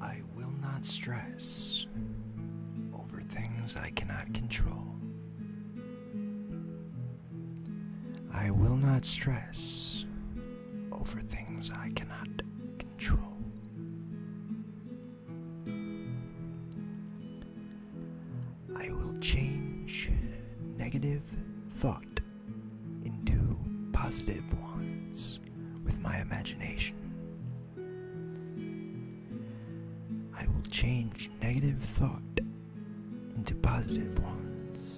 I will not stress over things I cannot control. I will not stress over things I cannot control. I will change negative thought into positive ones with my imagination. I will change negative thought into positive ones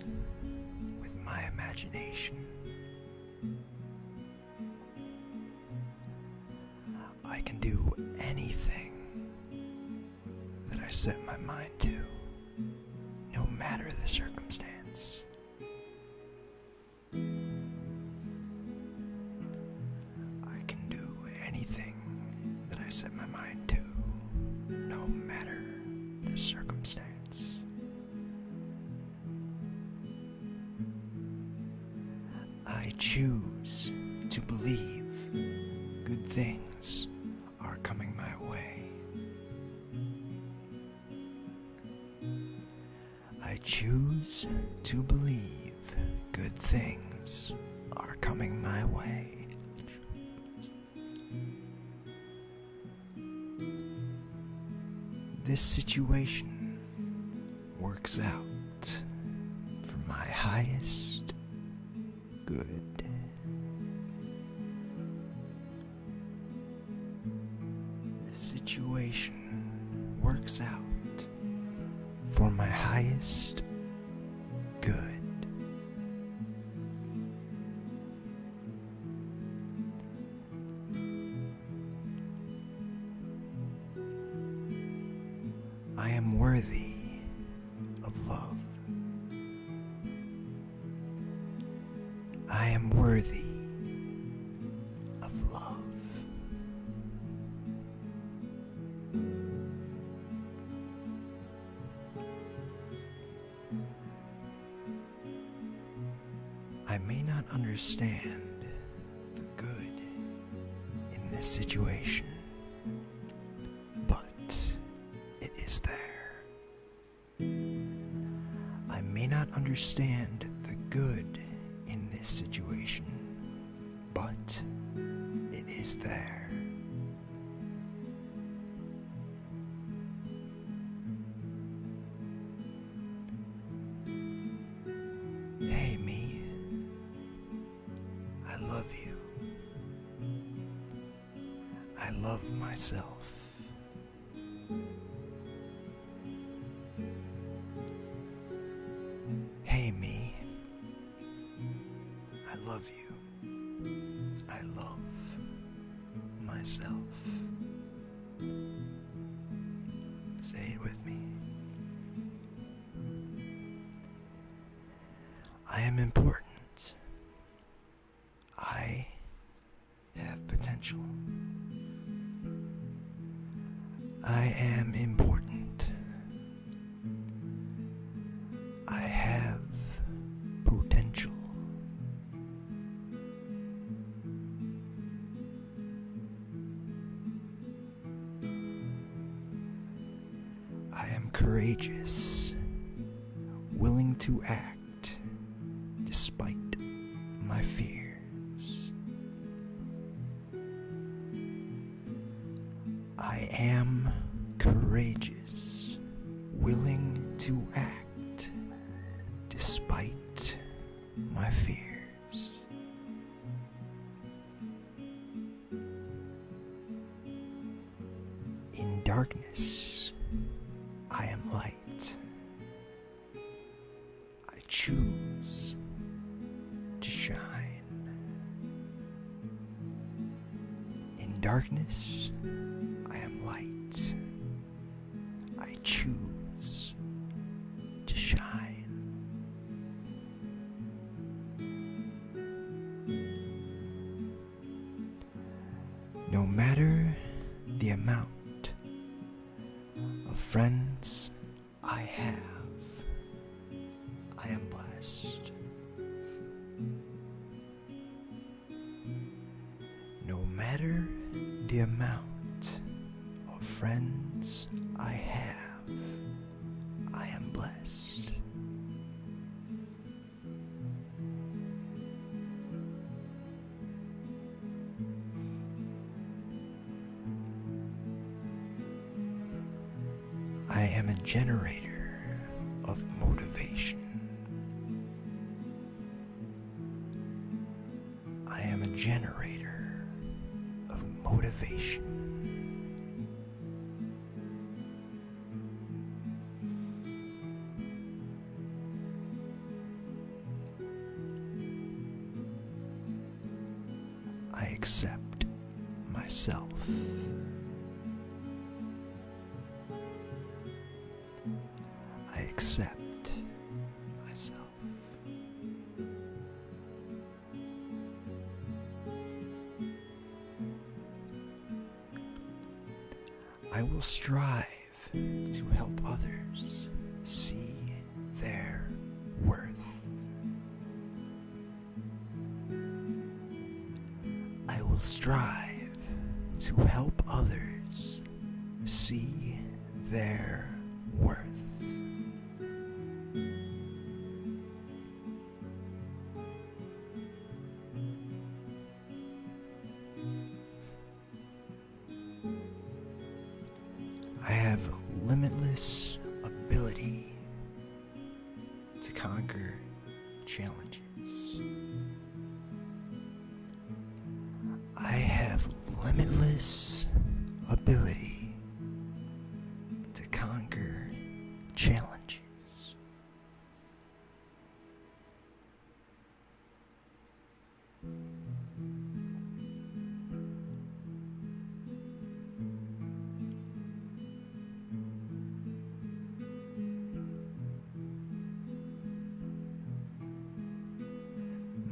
with my imagination. I can do anything that I set my mind to, no matter the circumstance. I can do anything that I set my mind to, no matter the circumstance. I choose to believe good things are coming my way. I choose to believe good things are coming my way. This situation works out for my highest good. The situation works out for my highest good. I am worthy of love. I am worthy of love. I may not understand the good in this situation, but it is there. I may not understand the good in this situation, but it is there. Hey, me. I love you. I love myself. Hey, me. I love you. I love myself. Say it with me. I am important. I have potential. I am important. I have potential. I am courageous, willing to act despite my fears. I am courageous, willing to act despite my fears. In darkness, I am light. I choose to shine. In darkness, I am light. I choose to shine. No matter the amount of friends I have. I am blessed. No matter the amount of friends I have, I am blessed. I am a generator of motivation. I am a generator of motivation. I accept myself. I accept myself. I will strive to help others see their worth. I will strive to help others see their worth. I have limitless ability to conquer challenges. I have limitless ability to conquer challenges.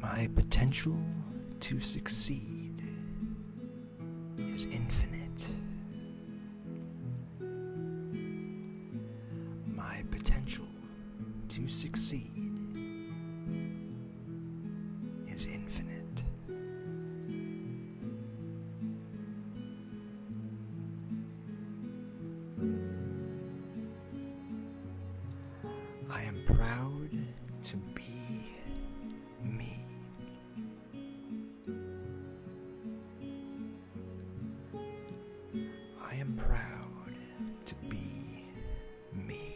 My potential to succeed is infinite. My potential to succeed is infinite. I am proud to be me. I am proud to be me.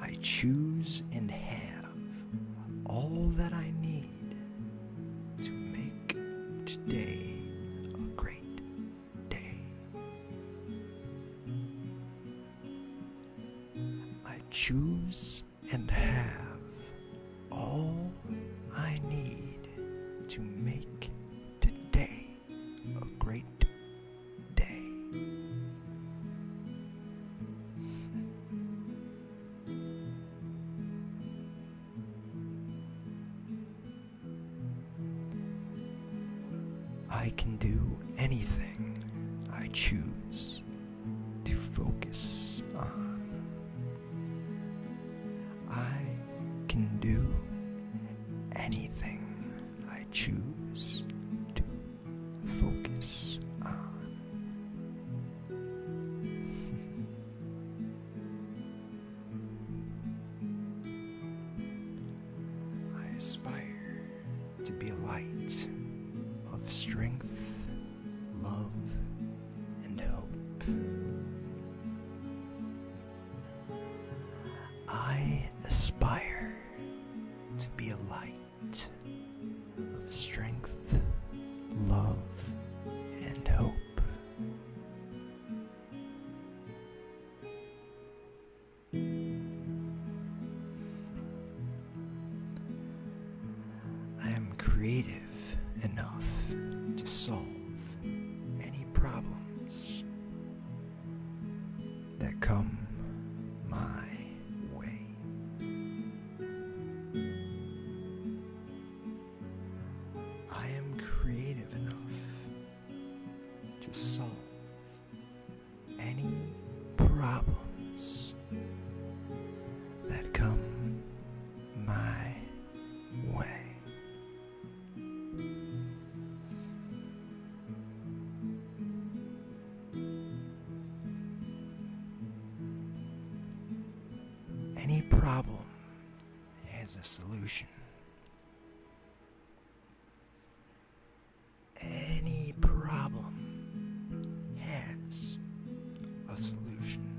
I choose and have all that I need to make today a great day. I choose and have all I need to make today a great day. I can do anything I choose to focus on. I can do anything I choose to focus on. I aspire to be a light of strength, love, and hope. I aspire to be a light of strength, love, and hope. I am creative enough to solve any problems that come my way. I am creative enough to solve any problems that come my way. Any problem has a solution. Any problem has a solution.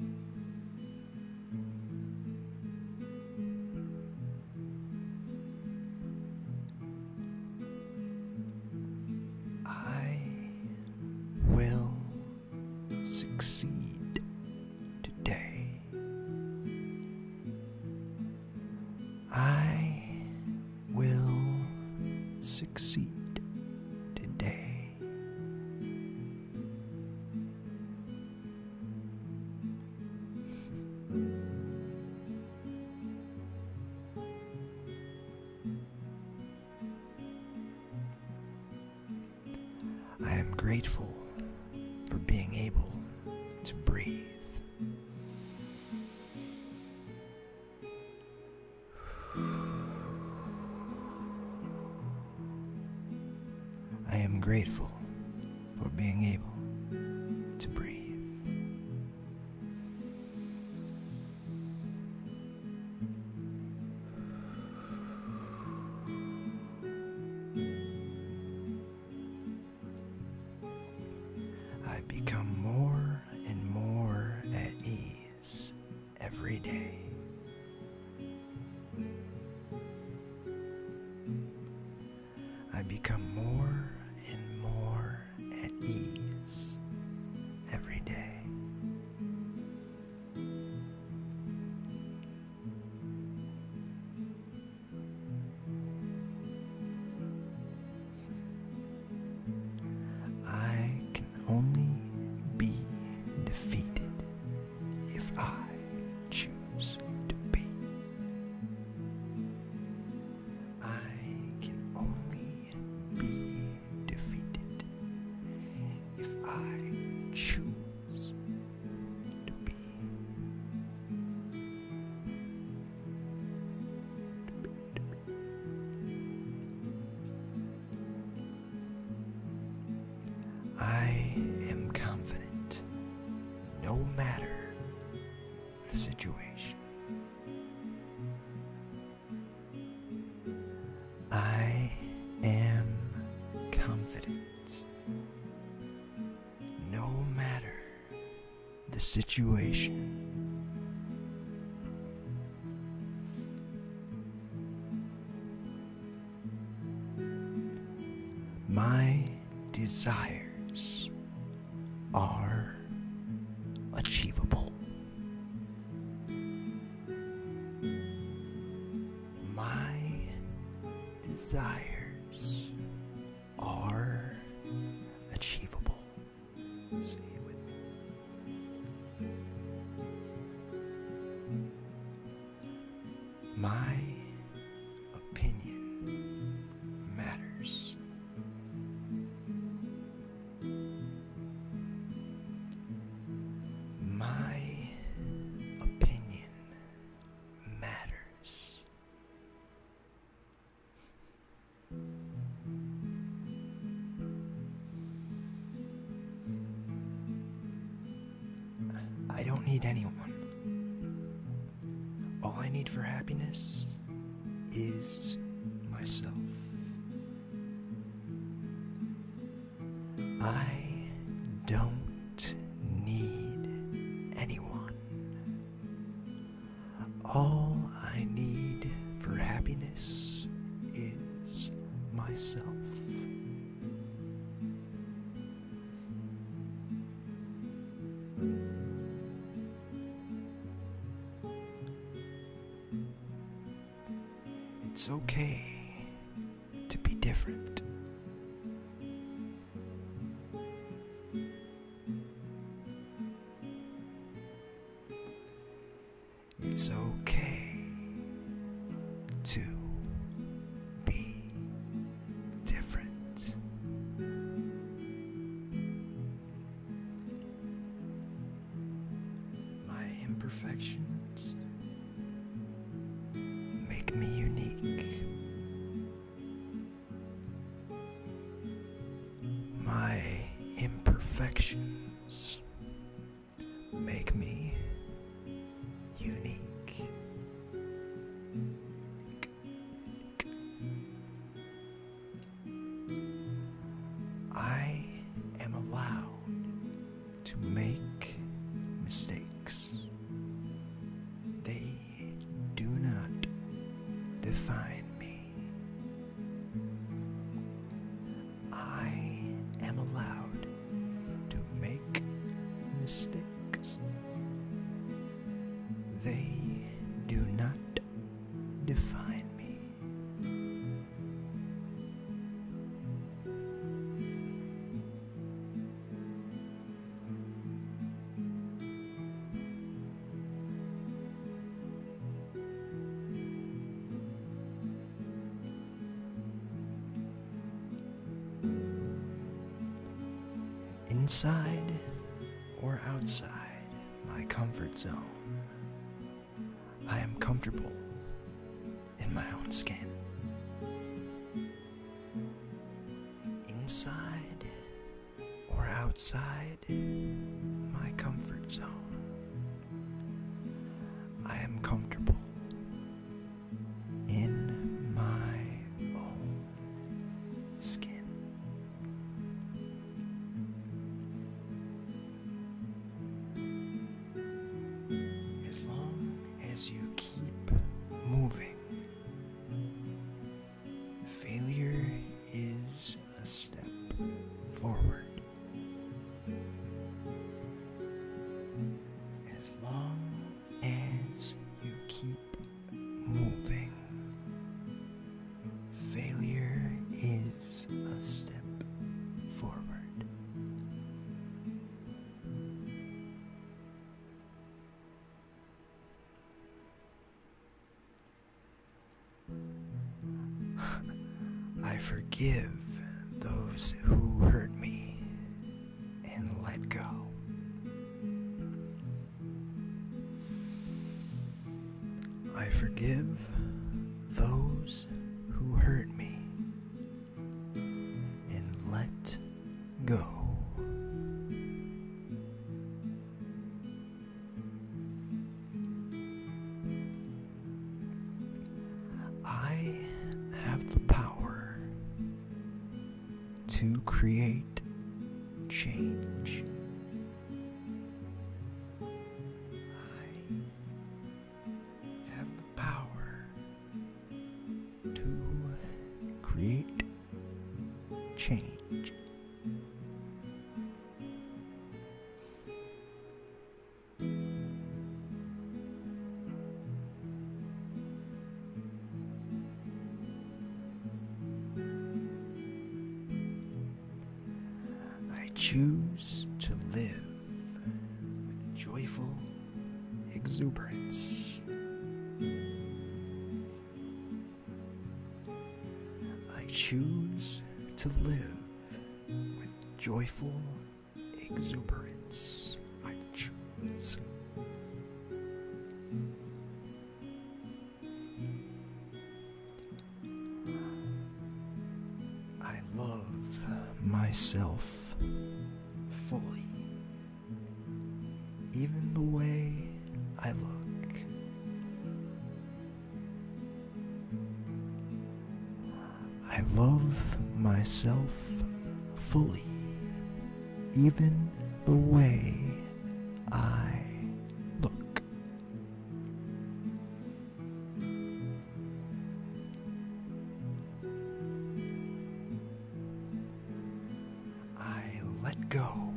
I will succeed today. I will succeed today. I am grateful for being able to breathe. I am grateful for being able to breathe. I become more and more at ease every day. I become more and more at ease every day. I can only be defeated if I choose to be. I can only be defeated if I choose to be. I am confident no matter the situation. I am confident no matter the situation. My desires are achievable. My desires are achievable. Stay with My opinion matters. My opinion matters. I don't need anyone. All I need for happiness is myself. I don't need anyone. All I need for happiness is myself. It's okay to be different. It's okay to be different. My imperfections make me unique. My imperfections make me unique. I am allowed to make mistakes. They do not define me. I am allowed to make mistakes. They do not define me. Inside or outside my comfort zone, I am comfortable in my own skin. Inside or outside my comfort zone. I am comfortable in my own skin. As long as you keep moving, Failure is a step forward. As long as you keep moving, failure is a step forward. I forgive those who hurt me and let go. I forgive those who hurt me and let go. I have the power to create change. I have the power to create change. I choose to live with joyful exuberance. I choose to live with joyful exuberance. I choose. I love myself fully, even the way I look. I love myself fully, even the way I look. I let go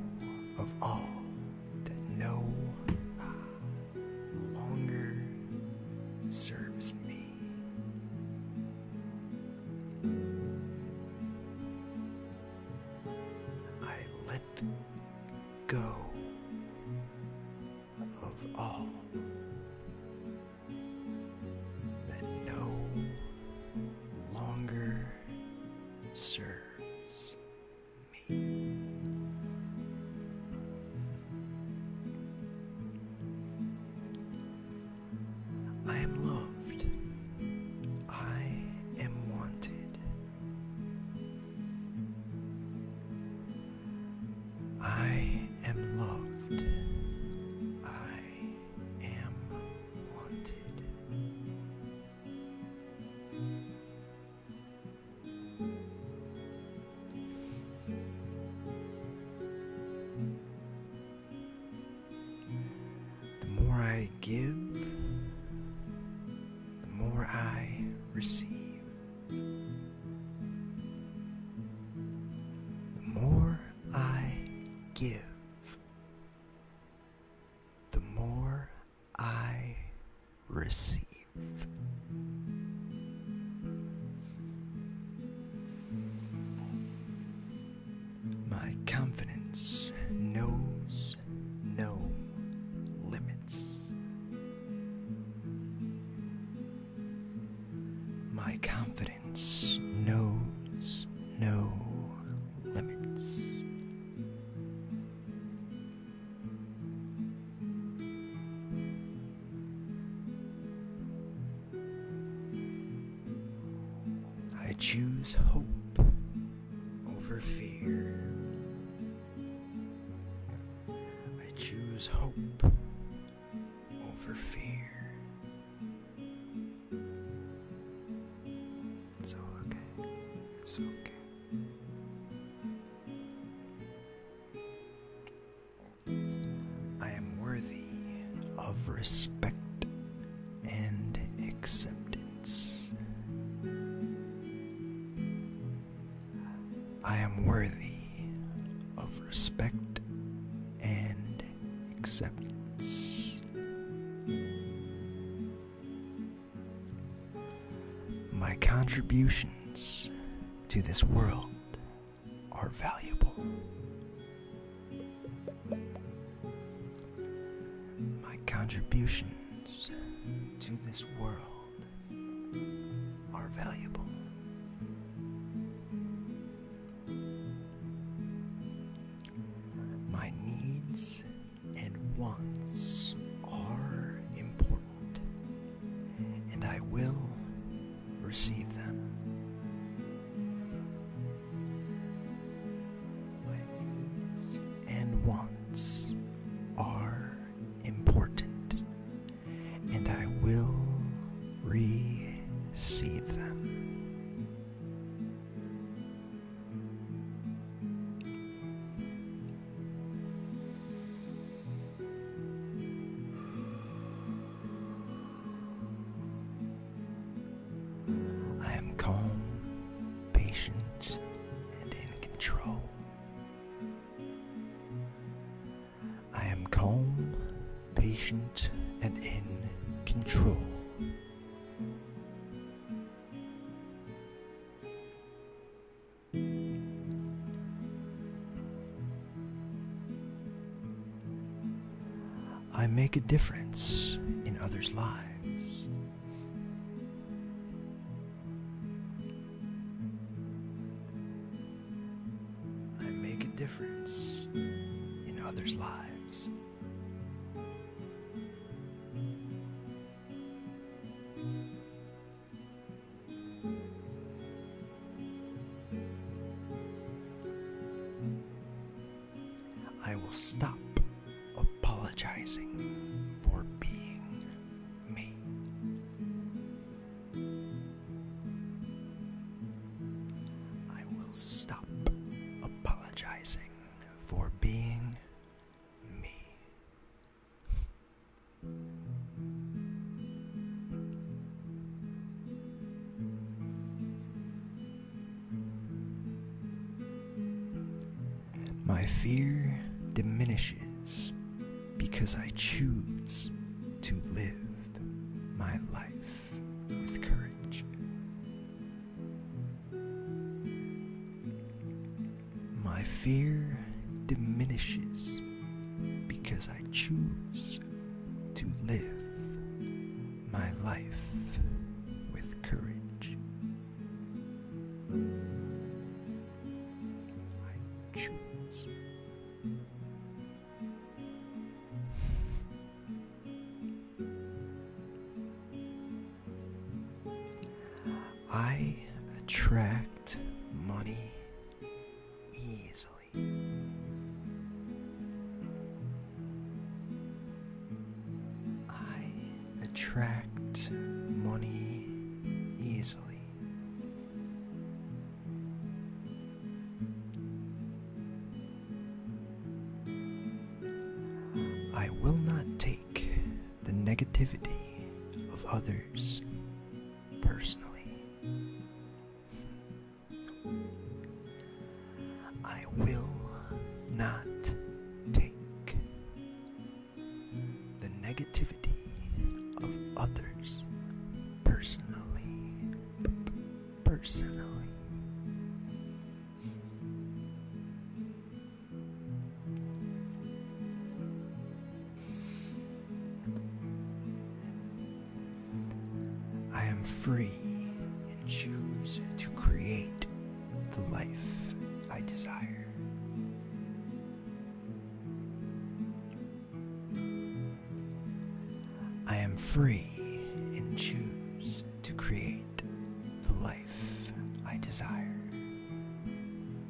of all that no longer serves me. I let go of all that no longer serves I am loved. I am wanted. I am loved. I am wanted. The more I give, the more I receive. The more I give, the more I receive. My confidence knows no limits. My confidence knows no limits. I choose hope over fear. I choose hope over fear. It's okay. It's okay. I am worthy of respect and acceptance. I am worthy of respect and acceptance. My contributions to this world are valuable. My contributions to this world are valuable. My needs and wants are important, and I will receive them. needs and wants are important, and I will receive them. I am calm, patient, and in control. I am calm, patient, and in control. I make a difference in others' lives. I make a difference in others' lives. I will stop apologizing for being me. I will stop apologizing for being me. My fear diminishes because I choose to live my life with courage. My fear diminishes because I choose to live my life with courage. I choose. I attract money easily. I attract money easily. I will not take the negativity of others personally. I will not take the negativity of others personally. personally. I am free and choose to create the life I desire. I am free and choose to create the life I desire.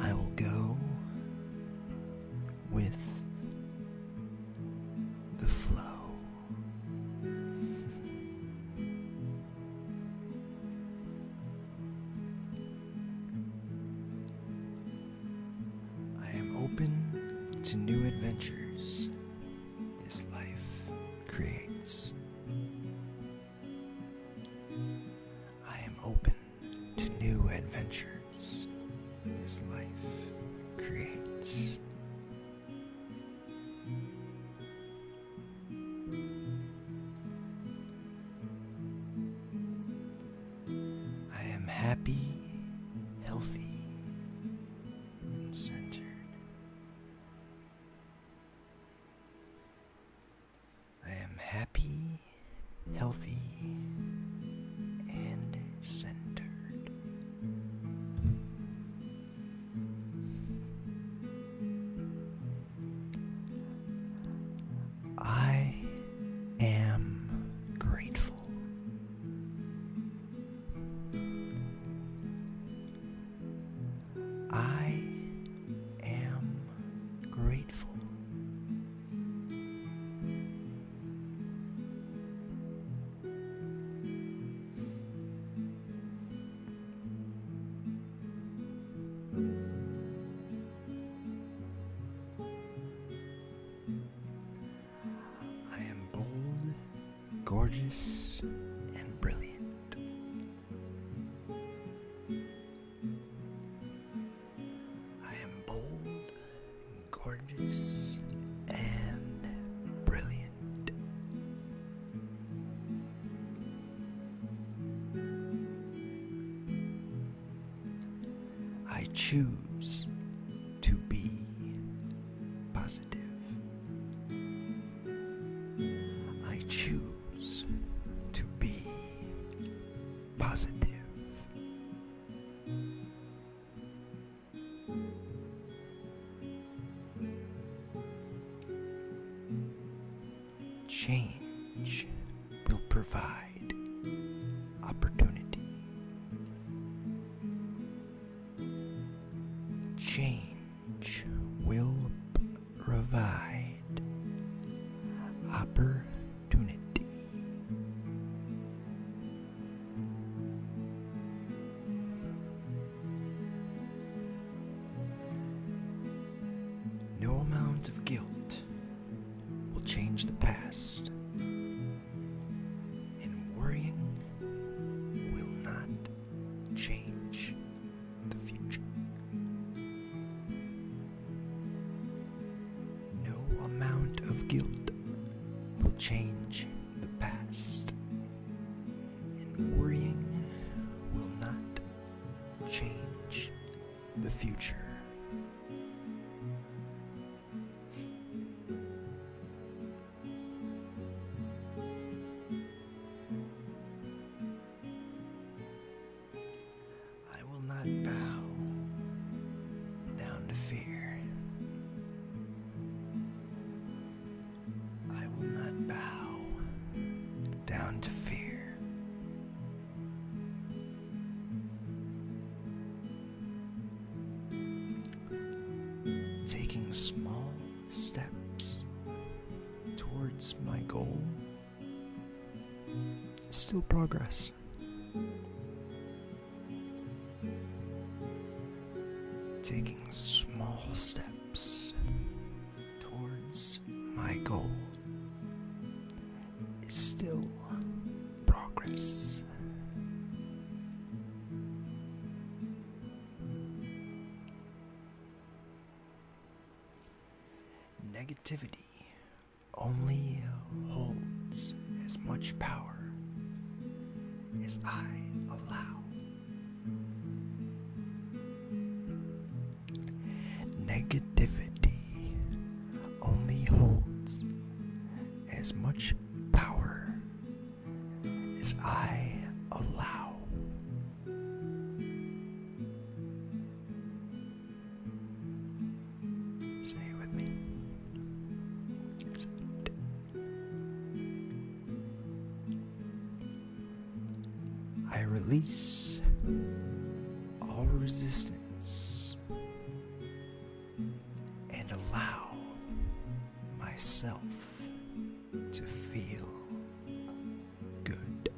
I will go with the flow. I am open to new adventures this life creates. I am open to new adventures this life creates. I am happy, healthy, and centered. I am happy, healthy, and centered. I am grateful. I am grateful. I am bold, gorgeous, and brilliant. I am bold, gorgeous, and brilliant. I choose to be positive. I choose to be positive. Change will provide opportunity. Change will provide opportunity. No amount of guilt will change the past, and worrying will not change the future. No amount of guilt will change the past, and worrying will not change the future. I will not bow down to fear. I will not bow down to fear. Taking small steps towards my goal still progress. Taking small steps towards my goal is still progress. Negativity only holds as much power as I allow. Negativity only holds as much power as I allow. Say it with me. I release all resistance and allow myself to feel good.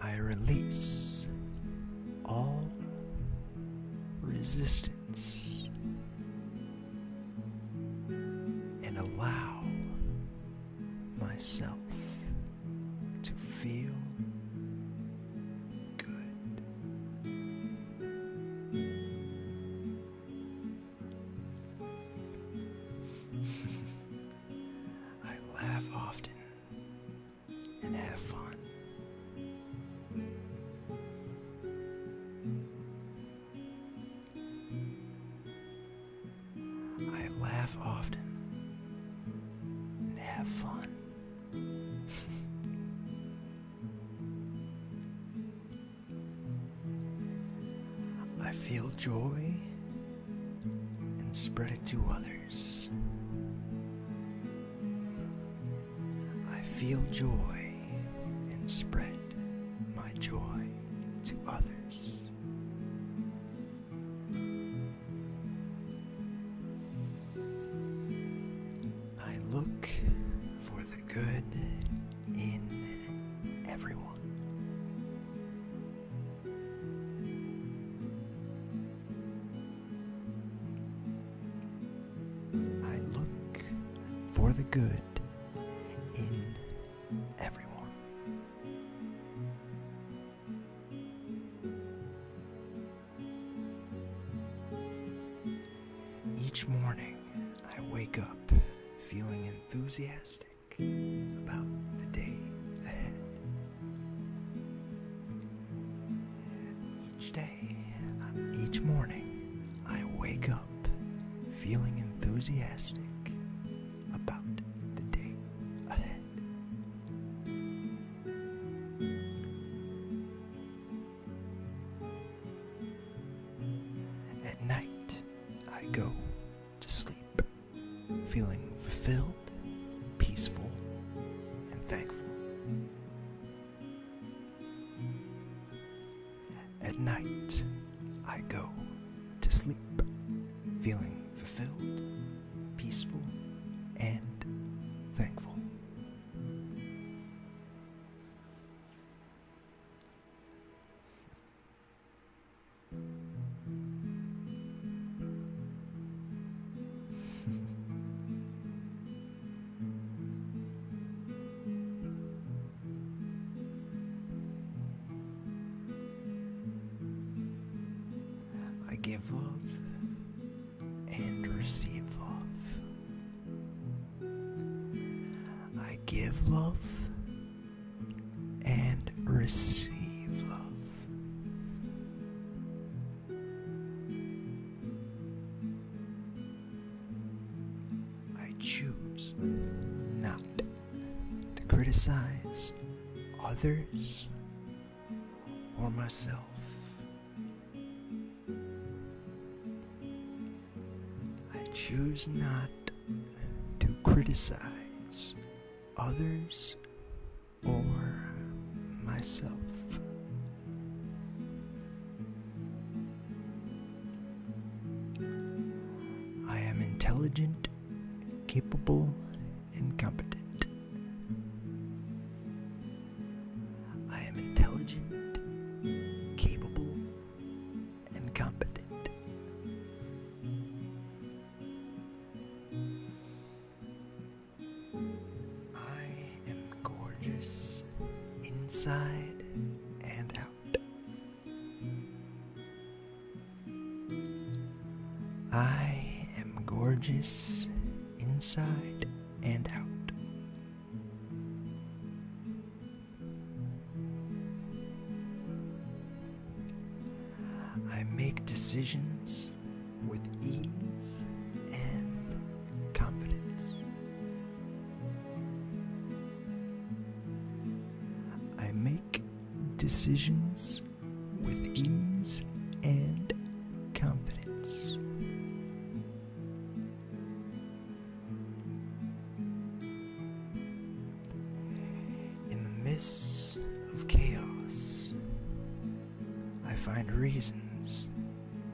I release all resistance and allow myself to feel good. I laugh often and have fun. I laugh often and have fun. I feel joy and spread it to others. I feel joy and spread my joy to others. I look for the good in everyone. I look for the good in everyone. Each morning, I wake up feeling enthusiastic about the day ahead. Each day, uh, each morning, I wake up feeling enthusiastic about the day ahead. At night, I go to sleep feeling fulfilled, peaceful, and thankful. At night, I go to sleep feeling fulfilled, peaceful, and thankful. I give love and receive love. I give love and receive love. I choose not to criticize others or myself. I choose not to criticize others or myself. I am intelligent, capable, incompetent. I am intelligent, capable, and competent. I am gorgeous inside and out. I am gorgeous inside and out. I make decisions with ease and confidence. I make decisions with ease and confidence. In the midst of chaos, I find reasons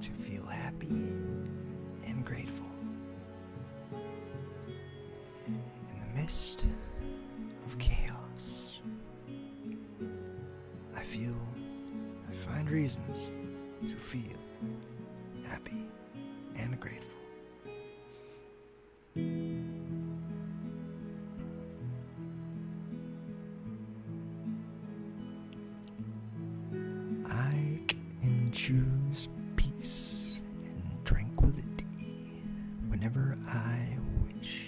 to feel happy and grateful. In the midst of chaos, I feel, I find reasons to feel happy and grateful. I can choose peace and tranquility whenever I wish.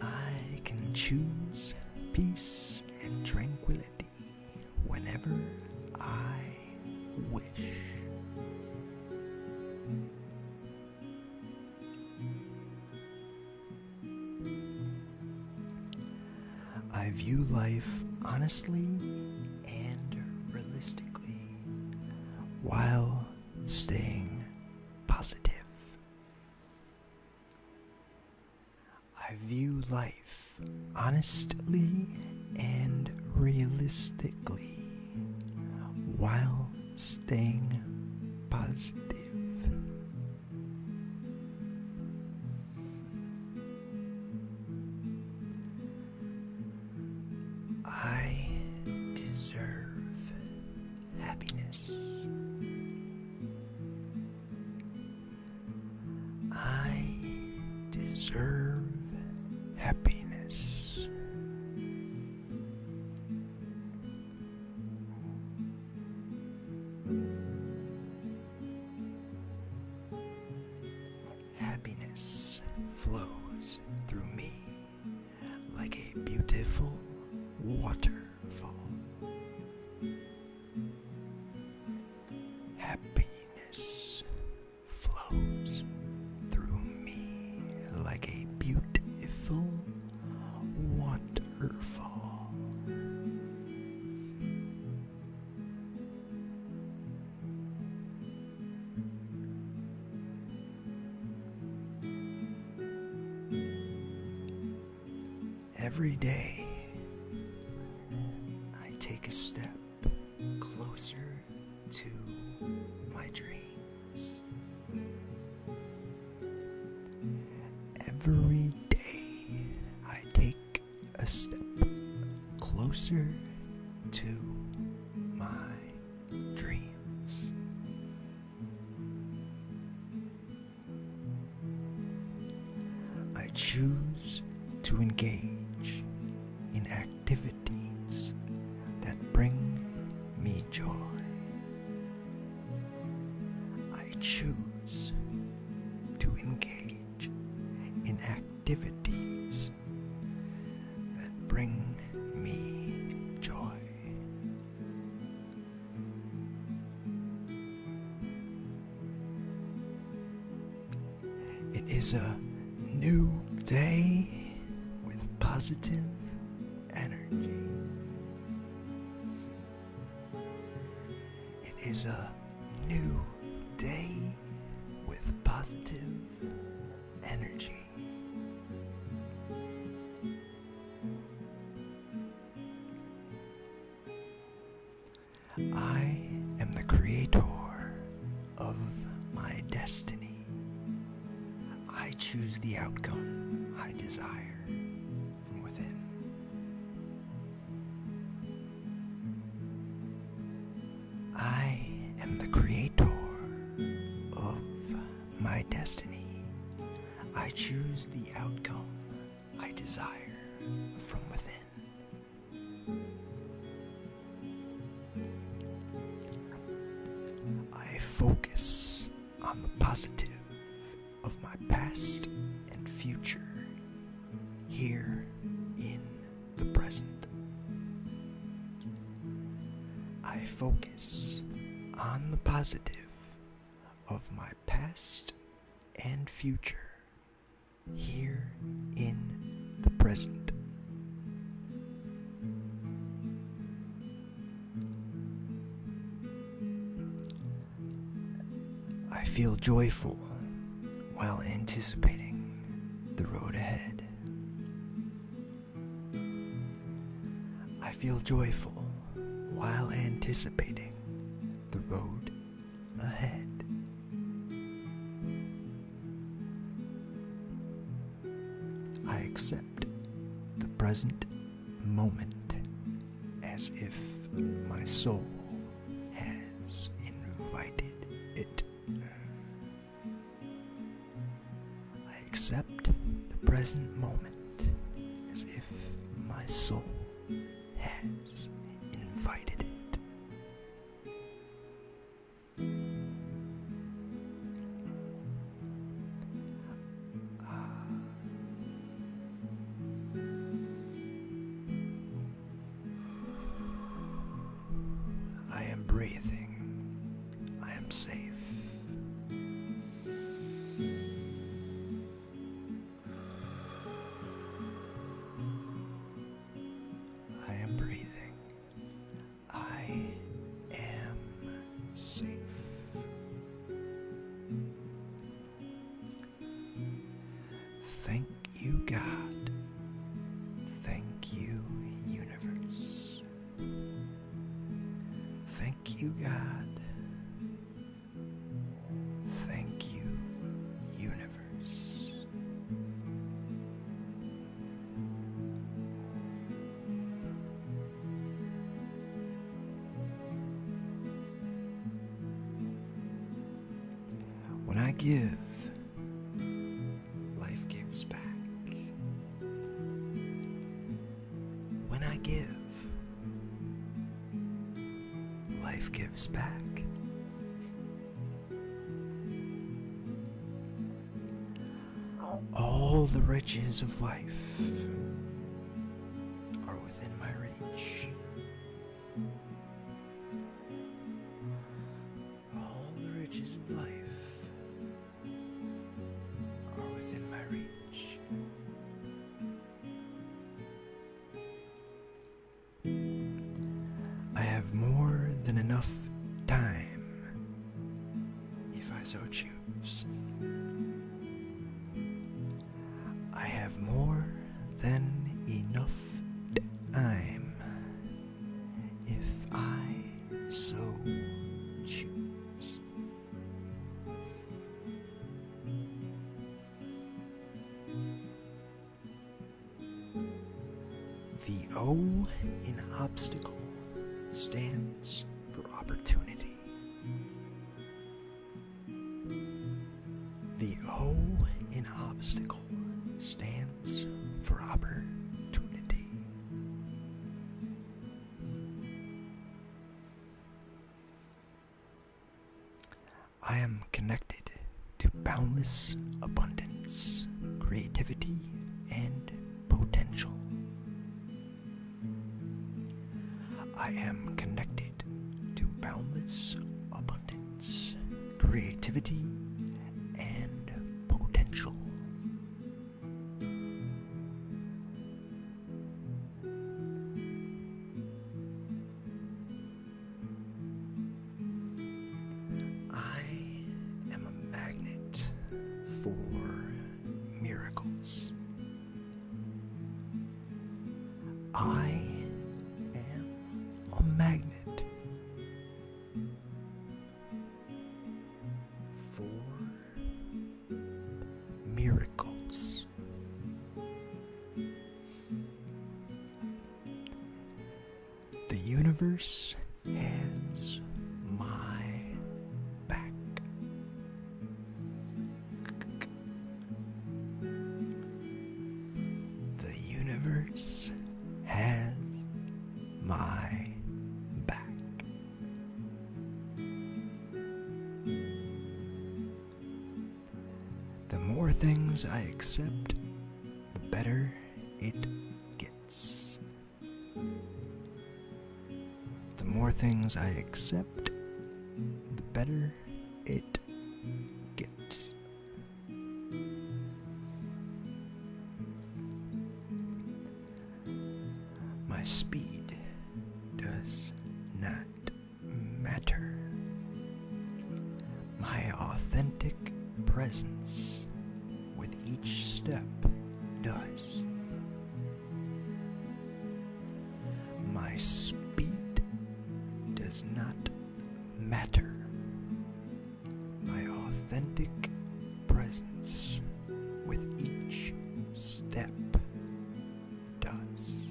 I can choose peace and tranquility whenever I wish. I view life honestly and realistically while staying positive. I view life honestly and realistically while staying positive. I deserve happiness. I deserve happiness. Happiness flows through me like a beautiful waterfall. Happiness flows through me like a beautiful waterfall. Every day, I take a step closer to my dreams. Every day, I take a step closer to my dreams. I choose to engage in activities that bring me joy. I choose to engage in activities that bring me joy. It is a new day with positive energy. It is a new day with positive energy. I am the creator of my destiny. I choose the outcome I desire from within. I am the creator of my destiny. I choose the outcome I desire from within. I focus on the positive of my past and future here in the present. I focus on the positive of my past and future here in the present. I feel joyful while anticipating the road ahead. I feel joyful while anticipating the road ahead. I accept the present moment as if my soul has invited it. I accept the present moment as if my soul has invited it. I am breathing. I am safe. I am breathing. I am safe. Thank you, God. Thank you, universe. Thank you, God. Thank you, universe. When I give, life gives back. When I give, life gives back. All the riches of life are within my reach. All the riches of life are within my reach. I have more than enough time, if I so choose. I have more than enough time, if I so choose. The O in obstacle stands for opportunity. The O in obstacle stands for opportunity. I am connected to boundless abundance, creativity, and potential. I am connected to boundless abundance, creativity, and potential. I am a magnet for miracles. I am a magnet for miracles. The universe has my back. The universe has my back. The more things I accept, the better it gets. The more things I accept, the better it gets. My speed does not matter my authentic presence with each step does. My speed does not matter. My authentic presence with each step does.